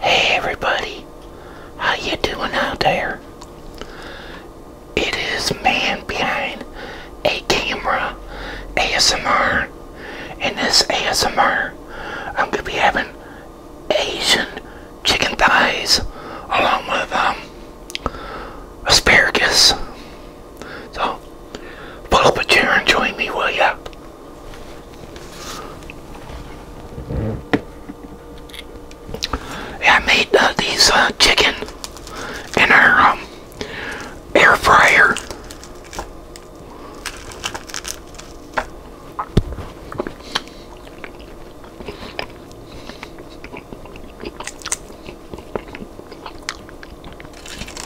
Hey everybody, how you doing out there? It is man behind a camera ASMR. and this ASMR, I'm gonna be having Asian chicken thighs along with um, asparagus. So, pull up a chair and join me, will ya? I made uh, these uh, chicken in our um, air fryer.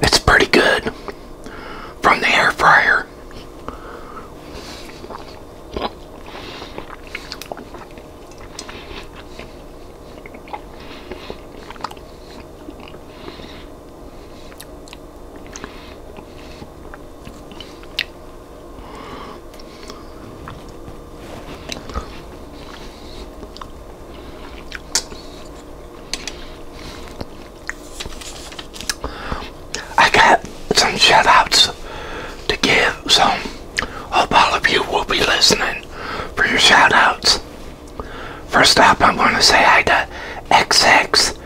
It's pretty good from the air fryer. I got some shout outs to give, so Hope all of you will be listening for your shoutouts. First up, I'm going to say hi to XX.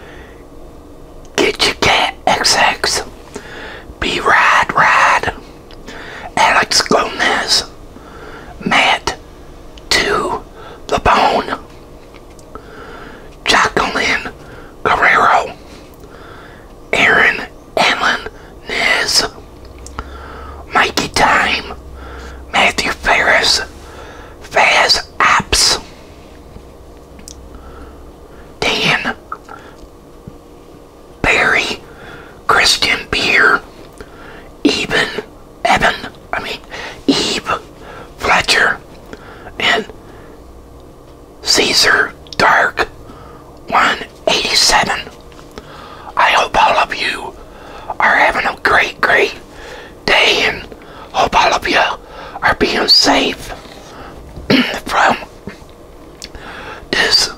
Get your cat, XX. Be Ride Ride. Alex Gomez. Matt to the Bone. Jacqueline Carrero, Aaron Ellen Niz, Mikey Time, Matthew Ferris, Faz Apps, Dan, Barry, Christian Beer, Eben, Evan, I mean, Eve, Fletcher, and Caesar Dark 1 87. I hope all of you are having a great, great day and hope all of you are being safe from this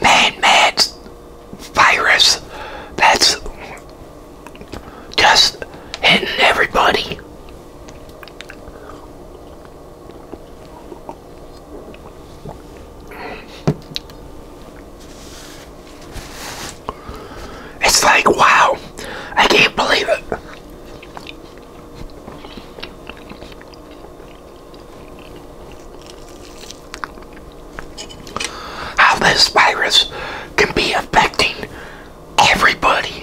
man mad virus that's just hitting everybody. It's like, wow, I can't believe it. How this virus can be affecting everybody.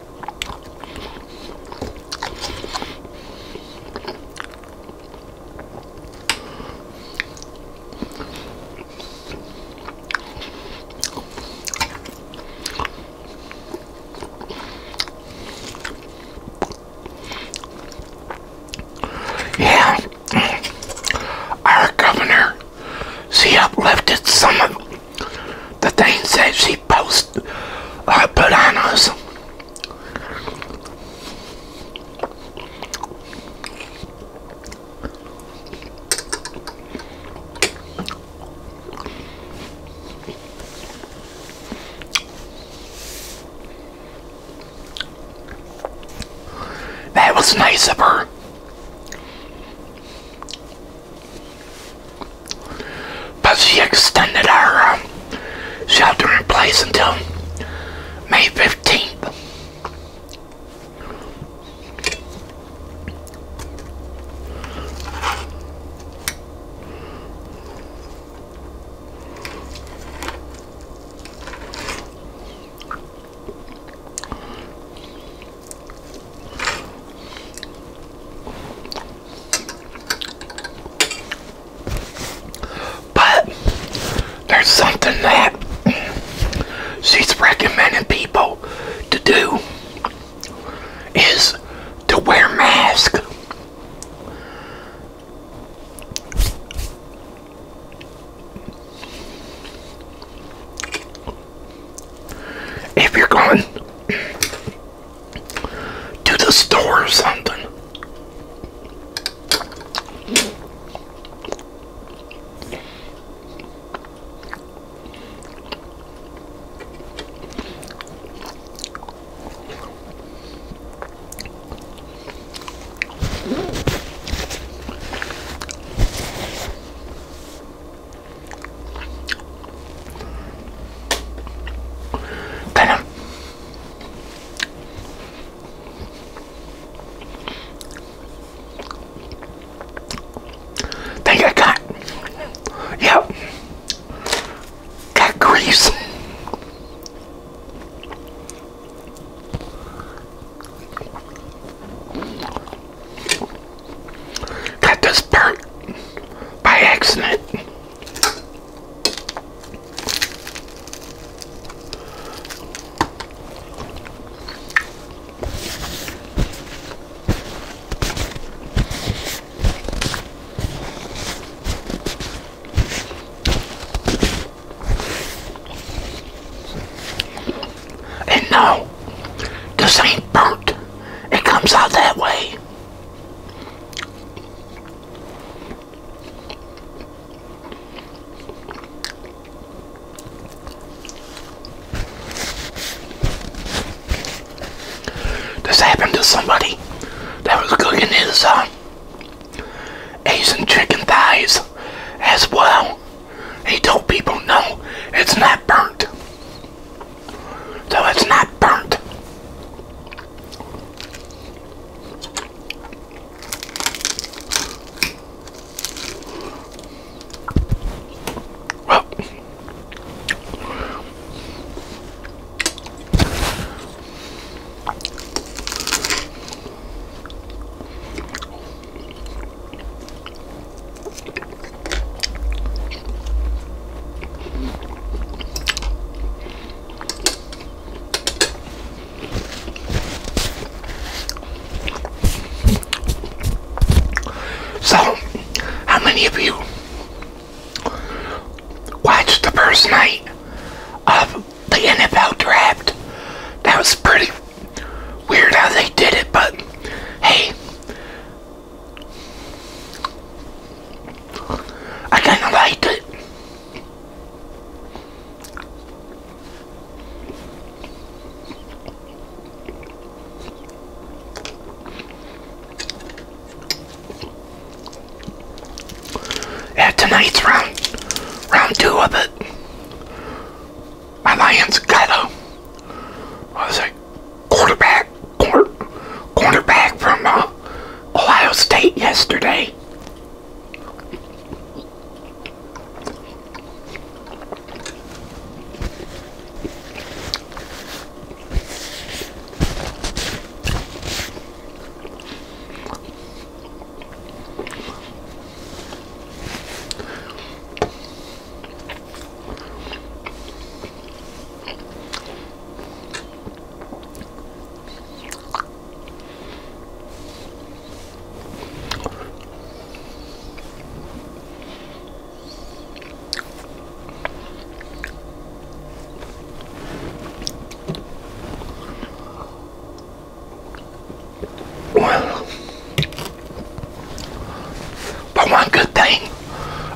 Yeah, our governor, she uplifted some of them the things that she posted, uh, put on us. That was nice of her. But she extended our uh, sheltering place until May 15th. But there's something that she's recommending people to do is to wear masks. If you're going to the store or something kind of think yep got grease got this part by accident. And no, this ain't burnt. It comes out that way. This happened to somebody that was cooking his uh, Asian chicken thighs as well. He told people, no, it's not burnt. So it's not burnt. Well, so, how many of you watched the first night of the NFL draft? That was pretty weird how they did it, but hey, I kind of like it. At tonight's round, round two of it, my lion's got a, what was it, quarterback corner, cornerback from uh, Ohio State yesterday. Well, but one good thing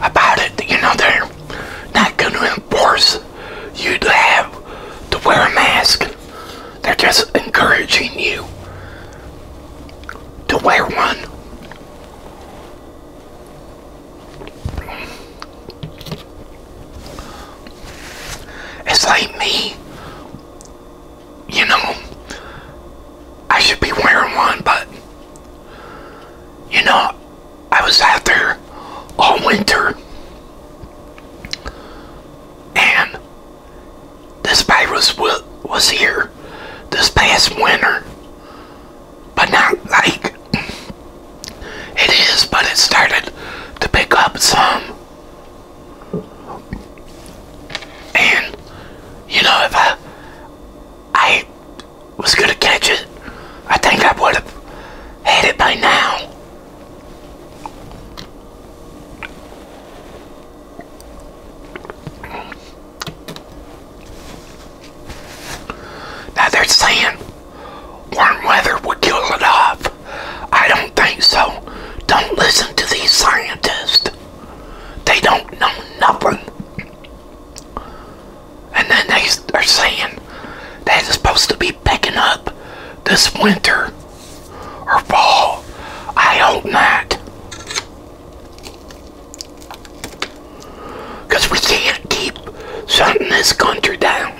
about it, you know, there not going to enforce you to have to wear a mask. They're just encouraging you to wear one. It's like me, you know, I should be wearing one, but, you know, I was out there all winter. And this virus was here this past winter. But not like it is, but it started to pick up some. And, you know, if I, I was going to catch it, I think I would have had it by now. Now they're saying warm weather would kill it off. I don't think so. Don't listen to these scientists. They don't know nothing. And then they are saying that it's supposed to be picking up this winter or fall. I hope not. Because we can't keep shutting this country down.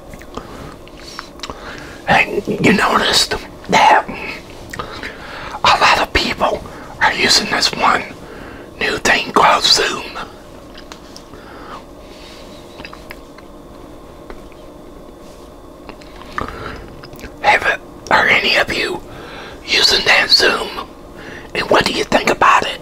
And you noticed that a lot of people are using this one new thing called Zoom. Have it, are any of you using that Zoom? And what do you think about it?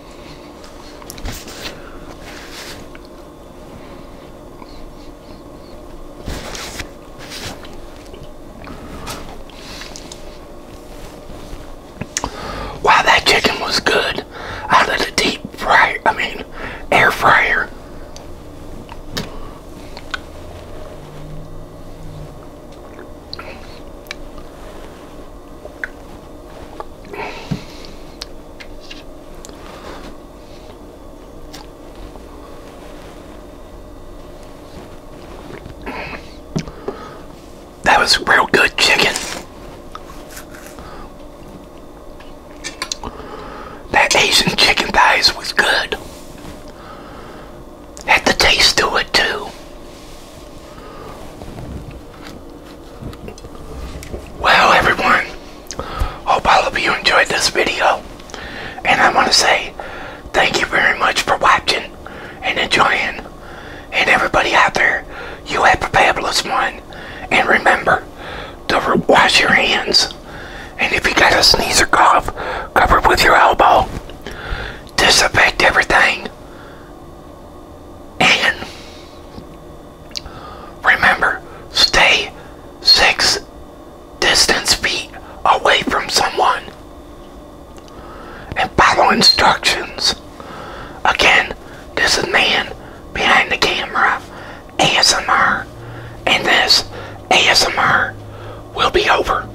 Wow, that chicken was good out of the deep fryer, I mean, air fryer. That was real good chicken. That Asian chicken thighs was good. Had the taste to it too. Well, everyone, hope all of you enjoyed this video. And I want to say thank you very much for watching and enjoying. And everybody out there, you have a fabulous one. And remember to wash your hands. And if you got a sneeze or cough, cover it with your elbow. Disinfect everything. And remember, stay six distance feet away from someone and follow instructions. Again, this is man behind the camera, ASMR, and this ASMR will be over.